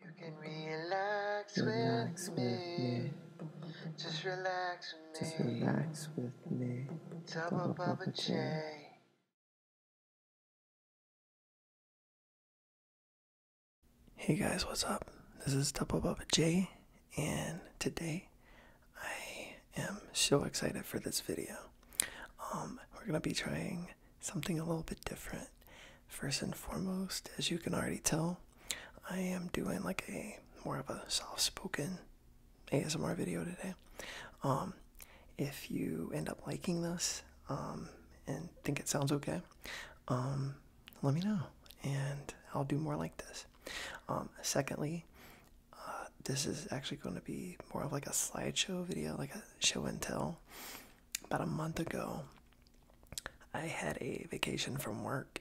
You can relax, relax with, me. Just relax with Just me. relax with me. Hey guys, what's up? This is Double Bubba Jay, and today I am so excited for this video. Um, we're gonna be trying something a little bit different. First and foremost, as you can already tell, I am doing like a more of a soft spoken ASMR video today. Um, if you end up liking this um, and think it sounds okay, um, let me know and I'll do more like this. secondly, uh, this is actually going to be more of like a slideshow video, like a show and tell about a month ago, I had a vacation from work.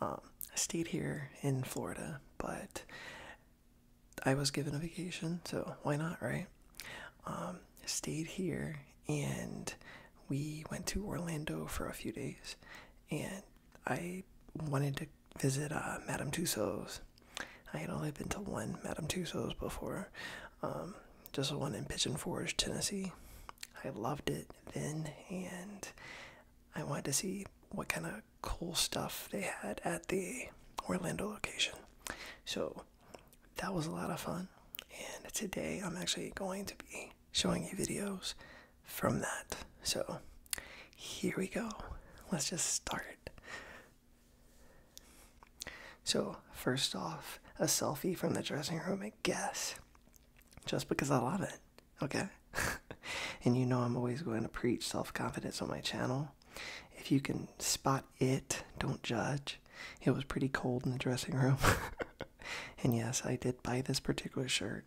Um, I stayed here in Florida, but I was given a vacation, so why not, right? Um, stayed here and we went to Orlando for a few days, and I wanted to visit uh, Madame Tussauds. I had only been to one Madame Tussauds before. Um, just one in Pigeon Forge, Tennessee. I loved it then, and I wanted to see what kind of cool stuff they had at the Orlando location. So that was a lot of fun. And today I'm actually going to be showing you videos from that. So here we go. Let's just start. So, first off, a selfie from the dressing room I Guess. Just because I love it, okay? and you know I'm always going to preach self confidence on my channel. If you can spot it, don't judge. It was pretty cold in the dressing room. and yes, I did buy this particular shirt.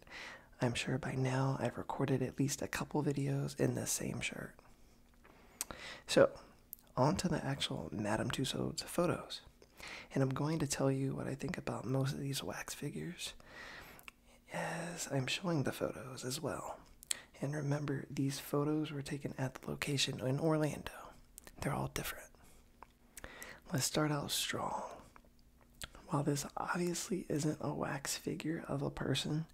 I'm sure by now I've recorded at least a couple videos in the same shirt. So, onto the actual Madame Tussauds photos. And I'm going to tell you what I think about most of these wax figures as I'm showing the photos as well. And remember, these photos were taken at the location in Orlando. They're all different. Let's start out strong. While this obviously isn't a wax figure of a person,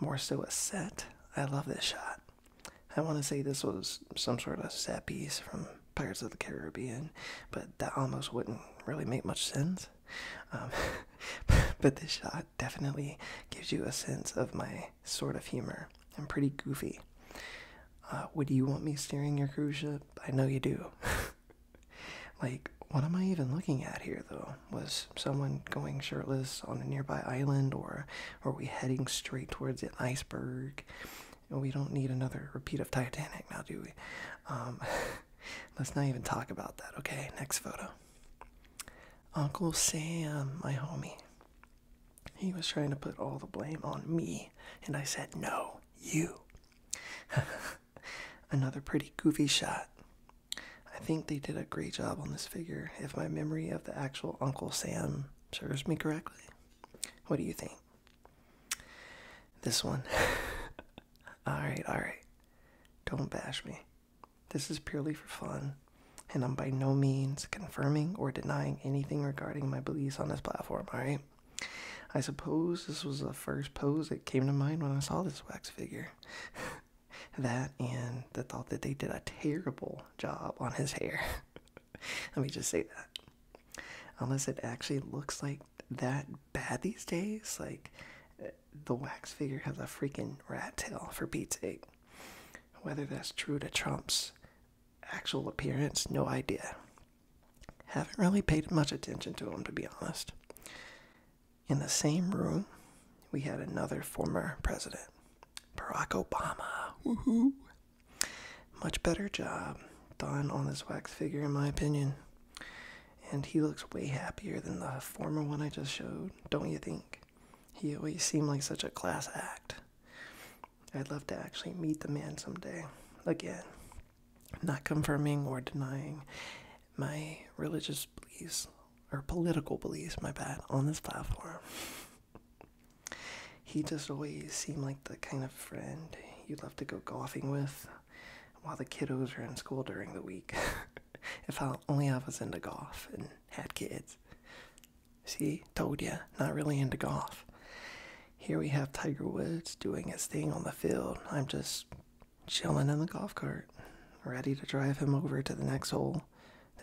more so a set, I love this shot. I want to say this was some sort of set piece from Pirates of the Caribbean, but that almost wouldn't really make much sense. Um, but this shot definitely gives you a sense of my sort of humor. I'm pretty goofy. Uh, would you want me steering your cruise ship? I know you do. like, what am I even looking at here, though? Was someone going shirtless on a nearby island or are we heading straight towards an iceberg? We don't need another repeat of Titanic now, do we? Um, let's not even talk about that, okay? Next photo. Uncle Sam, my homie. He was trying to put all the blame on me, and I said, No, you. Another pretty goofy shot. I think they did a great job on this figure, if my memory of the actual Uncle Sam serves me correctly. What do you think? This one? alright, alright. Don't bash me. This is purely for fun, and I'm by no means confirming or denying anything regarding my beliefs on this platform, alright? I suppose this was the first pose that came to mind when I saw this wax figure. that and the thought that they did a terrible job on his hair. Let me just say that. Unless it actually looks like that bad these days, like uh, the wax figure has a freaking rat tail for Pete's sake. Whether that's true to Trump's actual appearance, no idea. Haven't really paid much attention to him, to be honest. In the same room, we had another former president, Barack Obama. Woohoo! Much better job done on this wax figure, in my opinion. And he looks way happier than the former one I just showed, don't you think? He always seemed like such a class act. I'd love to actually meet the man someday. Again, not confirming or denying my religious beliefs or political beliefs, my bad, on this platform he just always seemed like the kind of friend you'd love to go golfing with while the kiddos are in school during the week. if I only I was into golf and had kids. See, told ya, not really into golf. Here we have Tiger Woods doing his thing on the field. I'm just chilling in the golf cart, ready to drive him over to the next hole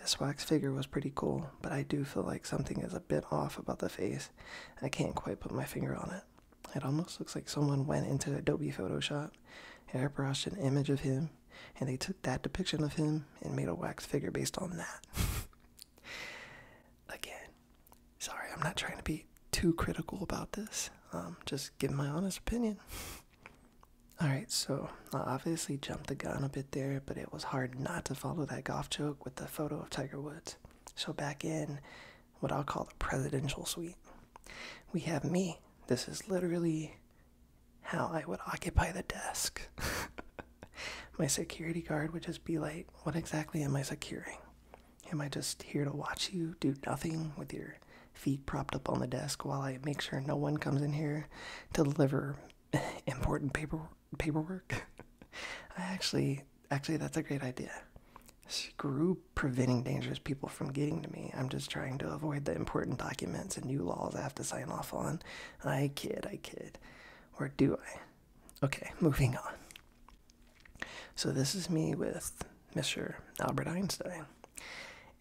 this wax figure was pretty cool, but I do feel like something is a bit off about the face. I can't quite put my finger on it. It almost looks like someone went into Adobe Photoshop, airbrushed an image of him, and they took that depiction of him and made a wax figure based on that. Again, sorry, I'm not trying to be too critical about this. I'm um, just giving my honest opinion. All right, so I obviously jumped the gun a bit there, but it was hard not to follow that golf joke with the photo of Tiger Woods. So back in what I'll call the presidential suite, we have me. This is literally how I would occupy the desk. my security guard would just be like, What exactly am I securing? Am I just here to watch you do nothing with your feet propped up on the desk while I make sure no one comes in here to deliver important paperwork?" paperwork. I actually, actually, that's a great idea. Screw preventing dangerous people from getting to me. I'm just trying to avoid the important documents and new laws I have to sign off on. I kid, I kid. Or do I? Okay, moving on. So, this is me with Mr. Albert Einstein.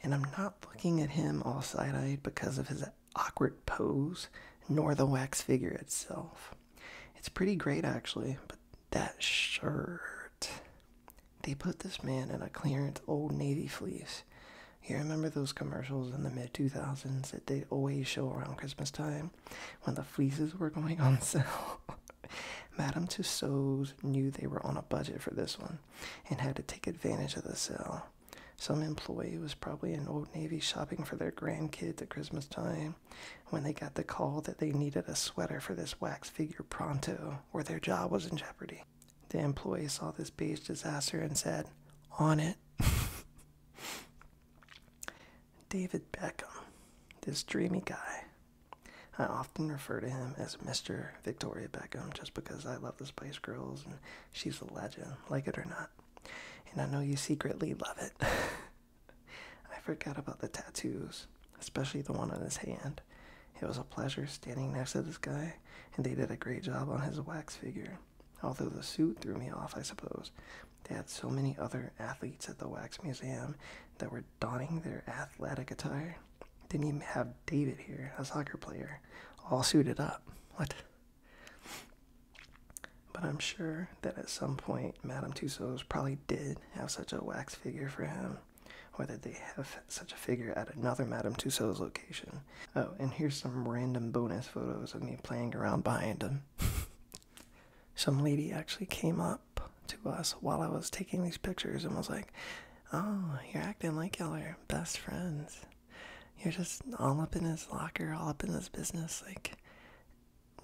And I'm not looking at him all side eyed because of his awkward pose nor the wax figure itself. It's pretty great actually, but that shirt. They put this man in a clearance old navy fleece. You remember those commercials in the mid 2000s that they always show around Christmas time when the fleeces were going on sale? Madame Tussauds knew they were on a budget for this one and had to take advantage of the sale. Some employee was probably in Old Navy shopping for their grandkids at Christmas time when they got the call that they needed a sweater for this wax figure pronto or their job was in jeopardy. The employee saw this beige disaster and said, On it. David Beckham, this dreamy guy. I often refer to him as Mr. Victoria Beckham just because I love the Spice Girls and she's a legend, like it or not. And I know you secretly love it. I forgot about the tattoos, especially the one on his hand. It was a pleasure standing next to this guy, and they did a great job on his wax figure. Although the suit threw me off, I suppose. They had so many other athletes at the wax museum that were donning their athletic attire. Didn't even have David here, a soccer player, all suited up. What? But I'm sure that at some point Madame Tussauds probably did have such a wax figure for him, or that they have such a figure at another Madame Tussauds location. Oh, and here's some random bonus photos of me playing around behind them. some lady actually came up to us while I was taking these pictures and was like, Oh, you're acting like y'all are best friends you're just all up in his locker, all up in his business, like,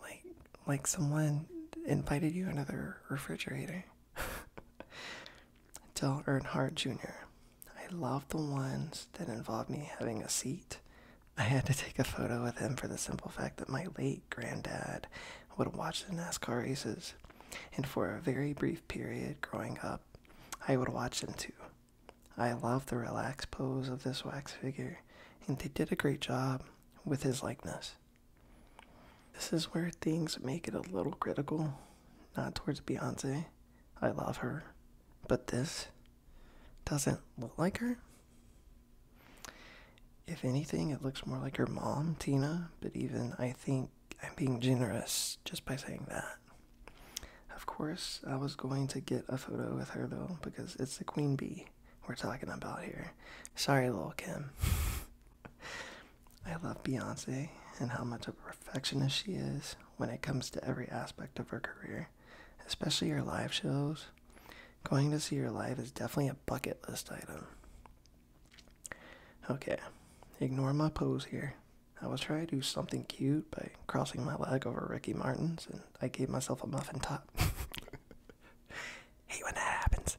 like, like someone invited you into their refrigerator. Dell Earnhardt Jr. I love the ones that involve me having a seat. I had to take a photo with him for the simple fact that my late granddad would watch the NASCAR races, and for a very brief period growing up, I would watch them too. I love the relaxed pose of this wax figure, and they did a great job with his likeness. This is where things make it a little critical, not towards Beyonce. I love her, but this doesn't look like her. If anything, it looks more like her mom, Tina, but even I think I'm being generous just by saying that. Of course, I was going to get a photo with her though, because it's the queen bee we're talking about here. Sorry, Lil Kim. I love Beyonce and how much of a perfectionist she is when it comes to every aspect of her career, especially her live shows. Going to see her live is definitely a bucket list item. Okay, ignore my pose here. I was trying to do something cute by crossing my leg over Ricky Martin's, and I gave myself a muffin top. Hate when happens.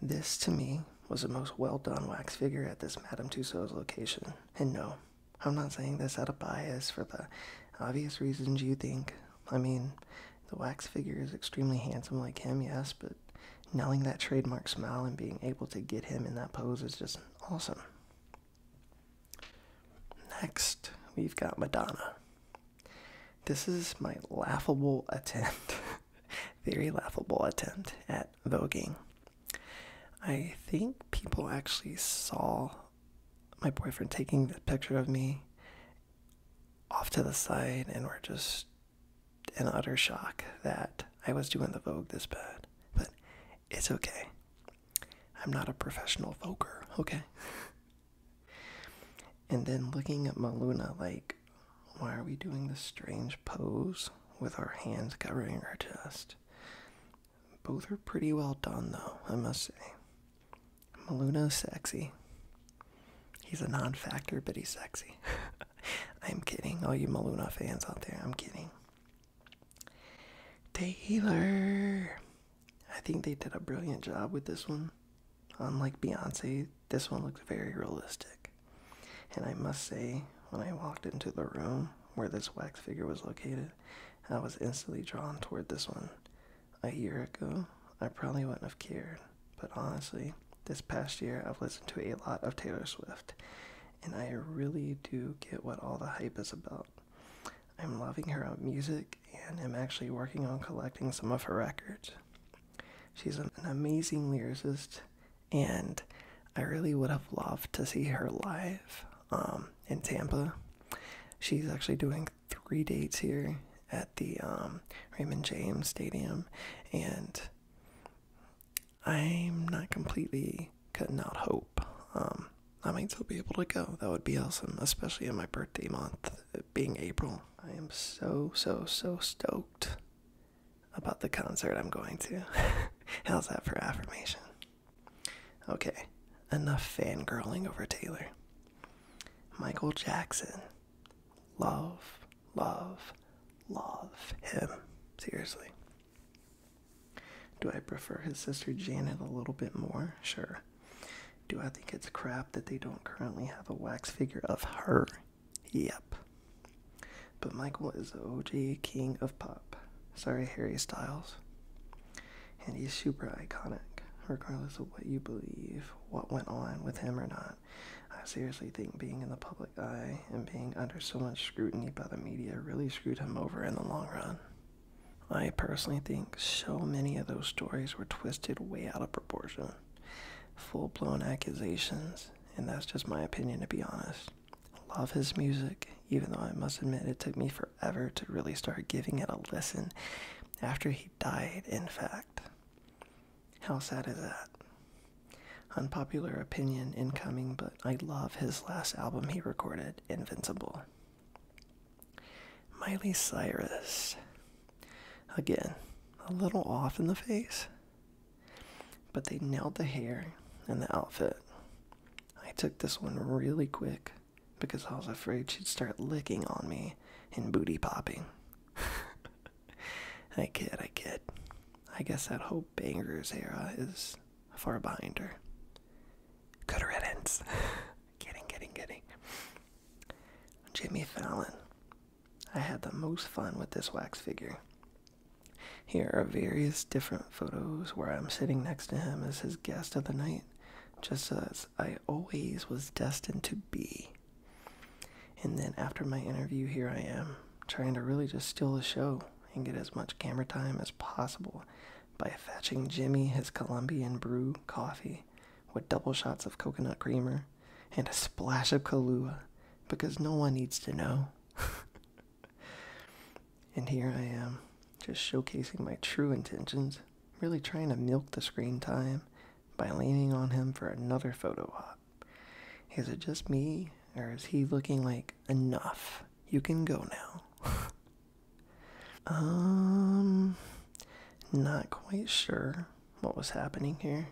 This, to me, was the most well done wax figure at this Madame Tussauds location. And no, I'm not saying this out of bias for the obvious reasons you think. I mean, the wax figure is extremely handsome like him, yes, but knowing that trademark smile and being able to get him in that pose is just awesome. Next, we've got Madonna. This is my laughable attempt, very laughable attempt at voguing. I think people actually saw my boyfriend taking the picture of me off to the side and were just an utter shock that I was doing the Vogue this bad. But it's okay. I'm not a professional voker, okay? and then looking at Maluna like, why are we doing this strange pose with our hands covering our chest? Both are pretty well done, though, I must say. Maluna's sexy. He's a non factor, but he's sexy. I'm kidding, all you Maluna fans out there. I'm kidding. Taylor. I think they did a brilliant job with this one. Unlike Beyonce, this one looks very realistic. And I must say, when I walked into the room where this wax figure was located, I was instantly drawn toward this one. A year ago, I probably wouldn't have cared, but honestly, this past year I've listened to a lot of Taylor Swift, and I really do get what all the hype is about. I'm loving her music and am actually working on collecting some of her records. She's an amazing lyricist, and I really would have loved to see her live um, in Tampa. She's actually doing three dates here at the um, Raymond James Stadium, and I'm not completely cutting out hope. Um, I might still be able to go. That would be awesome, especially in my birthday month, being April. I am so, so, so stoked about the concert I'm going to. How's that for affirmation? Okay, enough fangirling over Taylor. Michael Jackson. Love, love, love him. Seriously. Do I prefer his sister Janet a little bit more? Sure. Do I think it's crap that they don't currently have a wax figure of her? Yep. But Michael is the OG king of pop. Sorry, Harry Styles. And he's super iconic, regardless of what you believe, what went on with him or not. I seriously think being in the public eye and being under so much scrutiny by the media really screwed him over in the long run. I personally think so many of those stories were twisted way out of proportion. Full blown accusations, and that's just my opinion to be honest. Love his music, even though I must admit it took me forever to really start giving it a listen after he died, in fact. How sad is that? Unpopular opinion incoming, but I love his last album he recorded, Invincible. Miley Cyrus. Again, a little off in the face, but they nailed the hair and the outfit. I took this one really quick because I was afraid she'd start licking on me and booty popping. I kid, I kid. I guess that whole Banger's era is far behind her. Good riddance. Getting, getting, getting. Jimmy Fallon. I had the most fun with this wax figure. Here are various different photos where I'm sitting next to him as his guest of the night, just as I always was destined to be. And then after my interview, here I am, trying to really just steal the show and get as much camera time as possible by fetching Jimmy his Colombian brew coffee with double shots of coconut creamer and a splash of Kahlua because no one needs to know. and here I am, just showcasing my true intentions, really trying to milk the screen time by leaning on him for another photo op. Is it just me, or is he looking like enough? You can go now. um, not quite sure what was happening here.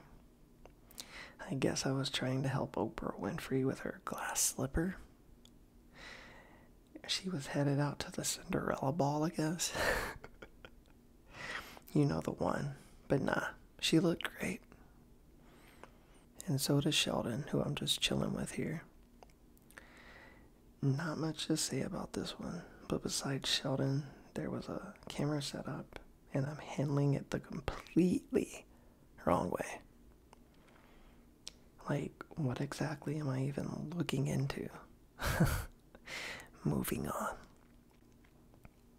I guess I was trying to help Oprah Winfrey with her glass slipper. She was headed out to the Cinderella ball, I guess. you know the one. But nah, she looked great. And so does Sheldon, who I'm just chilling with here. Not much to say about this one, but besides Sheldon, there was a camera set up, and I'm handling it the completely wrong way. Like, what exactly am I even looking into? Moving on.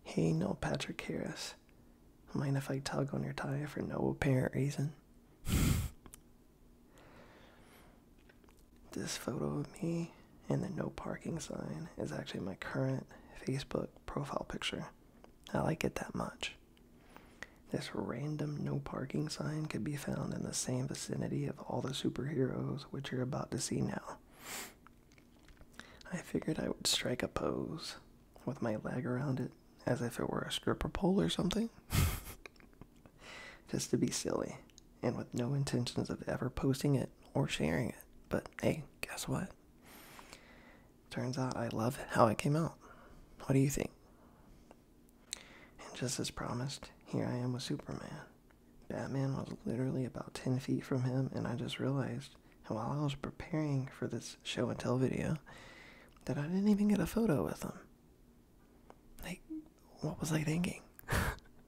Hey, no, Patrick Harris. Mind if I tug on your tie for no apparent reason? this photo of me and the no parking sign is actually my current Facebook profile picture. I like it that much. This random no parking sign could be found in the same vicinity of all the superheroes which you're about to see now. I figured I would strike a pose with my leg around it as if it were a stripper pole or something. Just to be silly and with no intentions of ever posting it or sharing it. But hey, guess what? Turns out I love how it came out. What do you think? And just as promised, here I am with Superman. Batman was literally about 10 feet from him, and I just realized and while I was preparing for this show and tell video, that I didn't even get a photo with them. Like, what was I thinking?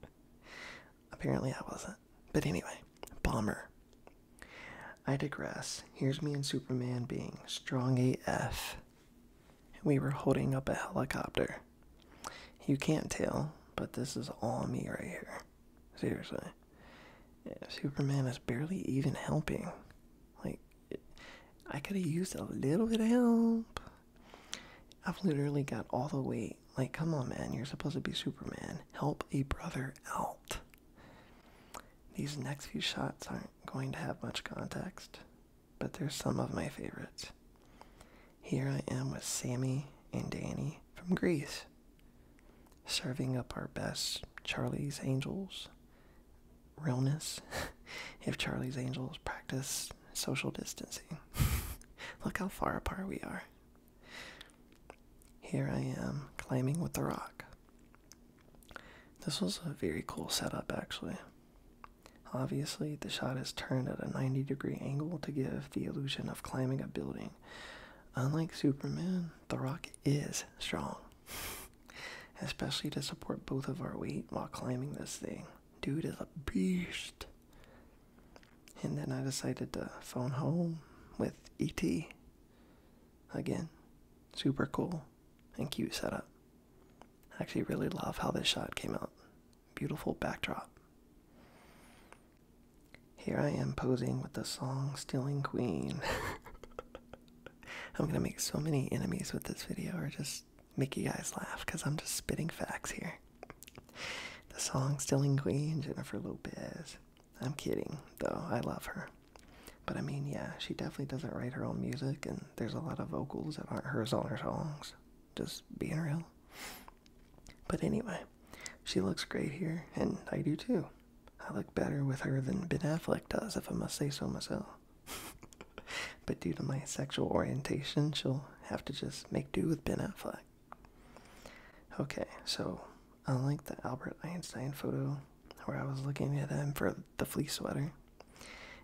Apparently, I wasn't. But anyway, bomber. I digress. Here's me and Superman being strong AF. We were holding up a helicopter. You can't tell, but this is all me right here. Seriously. Superman is barely even helping. Like, I could have used a little bit of help. I've literally got all the weight. Like, come on, man. You're supposed to be Superman. Help a brother out. These next few shots aren't going to have much context, but they're some of my favorites. Here I am with Sammy and Danny from Greece serving up our best Charlie's Angels realness if Charlie's Angels practice social distancing. Look how far apart we are. Here I am climbing with the rock. This was a very cool setup, actually. Obviously, the shot is turned at a 90 degree angle to give the illusion of climbing a building. Unlike Superman, The Rock is strong, especially to support both of our weight while climbing this thing. Dude is a beast. And then I decided to phone home with ET. Again, super cool and cute setup. I actually really love how this shot came out. Beautiful backdrop. Here I am posing with the song Stealing Queen. I'm gonna make so many enemies with this video or just make you guys laugh because I'm just spitting facts here. The song Stealing Queen, Jennifer Lopez. I'm kidding, though, I love her. But I mean, yeah, she definitely doesn't write her own music, and there's a lot of vocals that aren't hers on her songs. Just being real. But anyway, she looks great here, and I do too. I look better with her than Ben Affleck does, if I must say so myself. but due to my sexual orientation, she'll have to just make do with Ben Affleck. Okay, so unlike the Albert Einstein photo, where I was looking at him for the fleece sweater,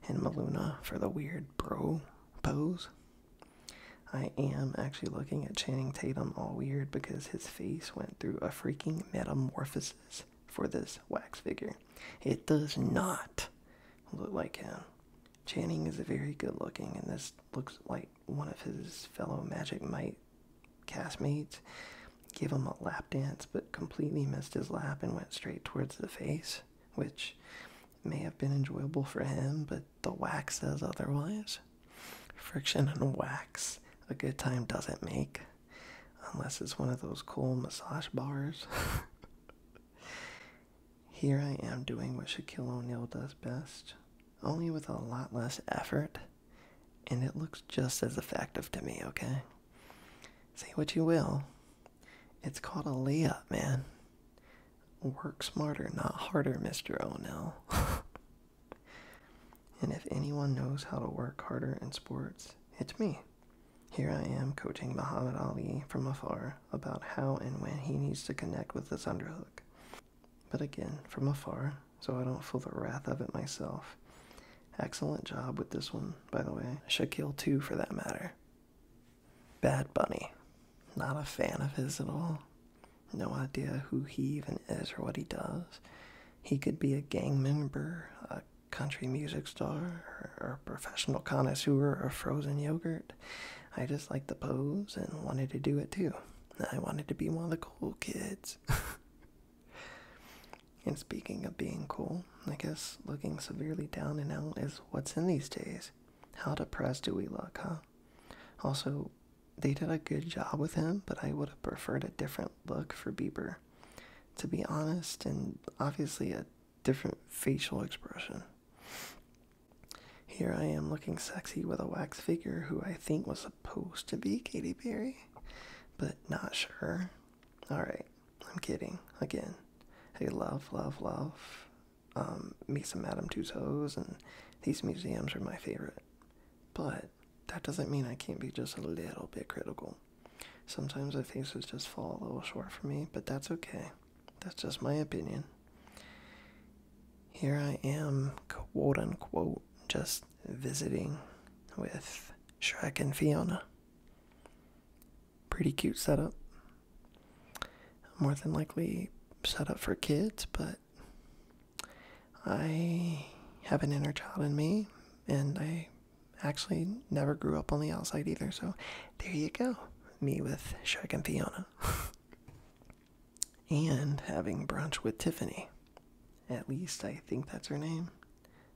and Maluna for the weird bro pose, I am actually looking at Channing Tatum all weird because his face went through a freaking metamorphosis for this wax figure. It does not look like him. Channing is very good looking, and this looks like one of his fellow Magic Mike castmates gave him a lap dance, but completely missed his lap and went straight towards the face, which may have been enjoyable for him, but the wax says otherwise. Friction and wax, a good time doesn't make, unless it's one of those cool massage bars. Here I am doing what Shaquille O'Neal does best, only with a lot less effort, and it looks just as effective to me, okay? Say what you will. It's called a layup, man. Work smarter, not harder, Mr. O'Neal. And if anyone knows how to work harder in sports, it's me. Here I am coaching Muhammad Ali from afar about how and when he needs to connect with this underhook. But again, from afar, so I don't feel the wrath of it myself. Excellent job with this one, by the way. Shaquille, too, for that matter. Bad Bunny. Not a fan of his at all no idea who he even is or what he does. He could be a gang member, a country music star, or a professional connoisseur of frozen yogurt. I just liked the pose and wanted to do it too. I wanted to be one of the cool kids. and speaking of being cool, I guess looking severely down and out is what's in these days. How depressed do we look, huh? Also, they did a good job with him, but I would have preferred a different look for Bieber, to be honest, and obviously a different facial expression. Here I am looking sexy with a wax figure who I think was supposed to be Katy Perry, but not sure. Alright, I'm kidding. Again. Hey, love, love, love um, me some Madame Tussauds, and these museums are my favorite. But that doesn't mean I can't be just a little bit critical. Sometimes I think faces just fall a little short for me, but that's okay. That's just my opinion. Here I am, quote unquote, just visiting with Shrek and Fiona. Pretty cute setup. More than likely set up for kids, but I have an inner child in me, and I actually never grew up on the outside either. So there you go. Me with Shrek and Fiona. and having brunch with Tiffany. At least I think that's her name.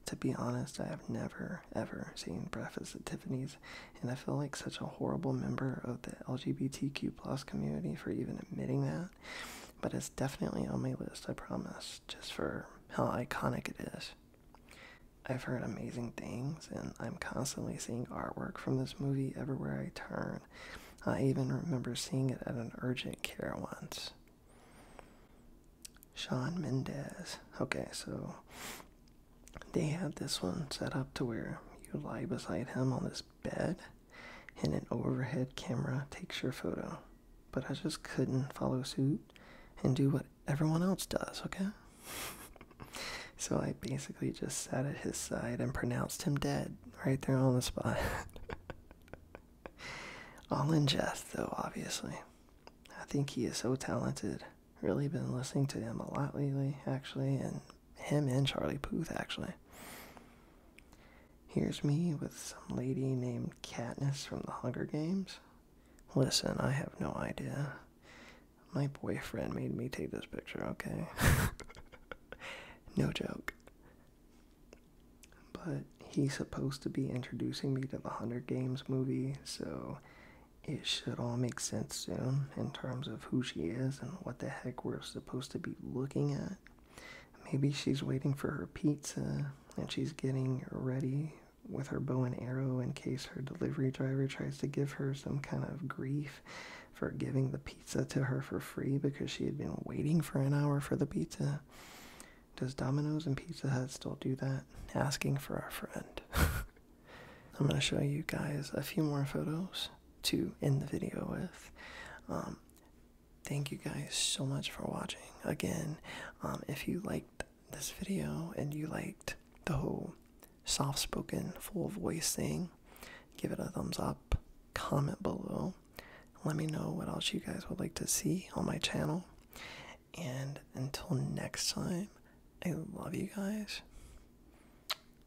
To be honest, I have never ever seen breakfast at Tiffany's, and I feel like such a horrible member of the LGBTQ plus community for even admitting that, but it's definitely on my list, I promise, just for how iconic it is. I've heard amazing things, and I'm constantly seeing artwork from this movie everywhere I turn. I even remember seeing it at an urgent care once. Sean Mendez. Okay, so they have this one set up to where you lie beside him on this bed and an overhead camera takes your photo. But I just couldn't follow suit and do what everyone else does, okay? so I basically just sat at his side and pronounced him dead right there on the spot. All in jest, though, obviously. I think he is so talented. Really been listening to him a lot lately, actually, and him and Charlie Puth, actually. Here's me with some lady named Katniss from the Hunger Games. Listen, I have no idea. My boyfriend made me take this picture, okay? no joke. But he's supposed to be introducing me to the Hunger Games movie, so it should all make sense soon in terms of who she is and what the heck we're supposed to be looking at. Maybe she's waiting for her pizza and she's getting ready with her bow and arrow in case her delivery driver tries to give her some kind of grief for giving the pizza to her for free because she had been waiting for an hour for the pizza. Does Domino's and Pizza Hut still do that? Asking for our friend. I'm going to show you guys a few more photos to end the video with. Um, thank you guys so much for watching. Again, um, if you liked this video and you liked the whole soft spoken, full voice thing, give it a thumbs up, comment below, let me know what else you guys would like to see on my channel. And until next time, I love you guys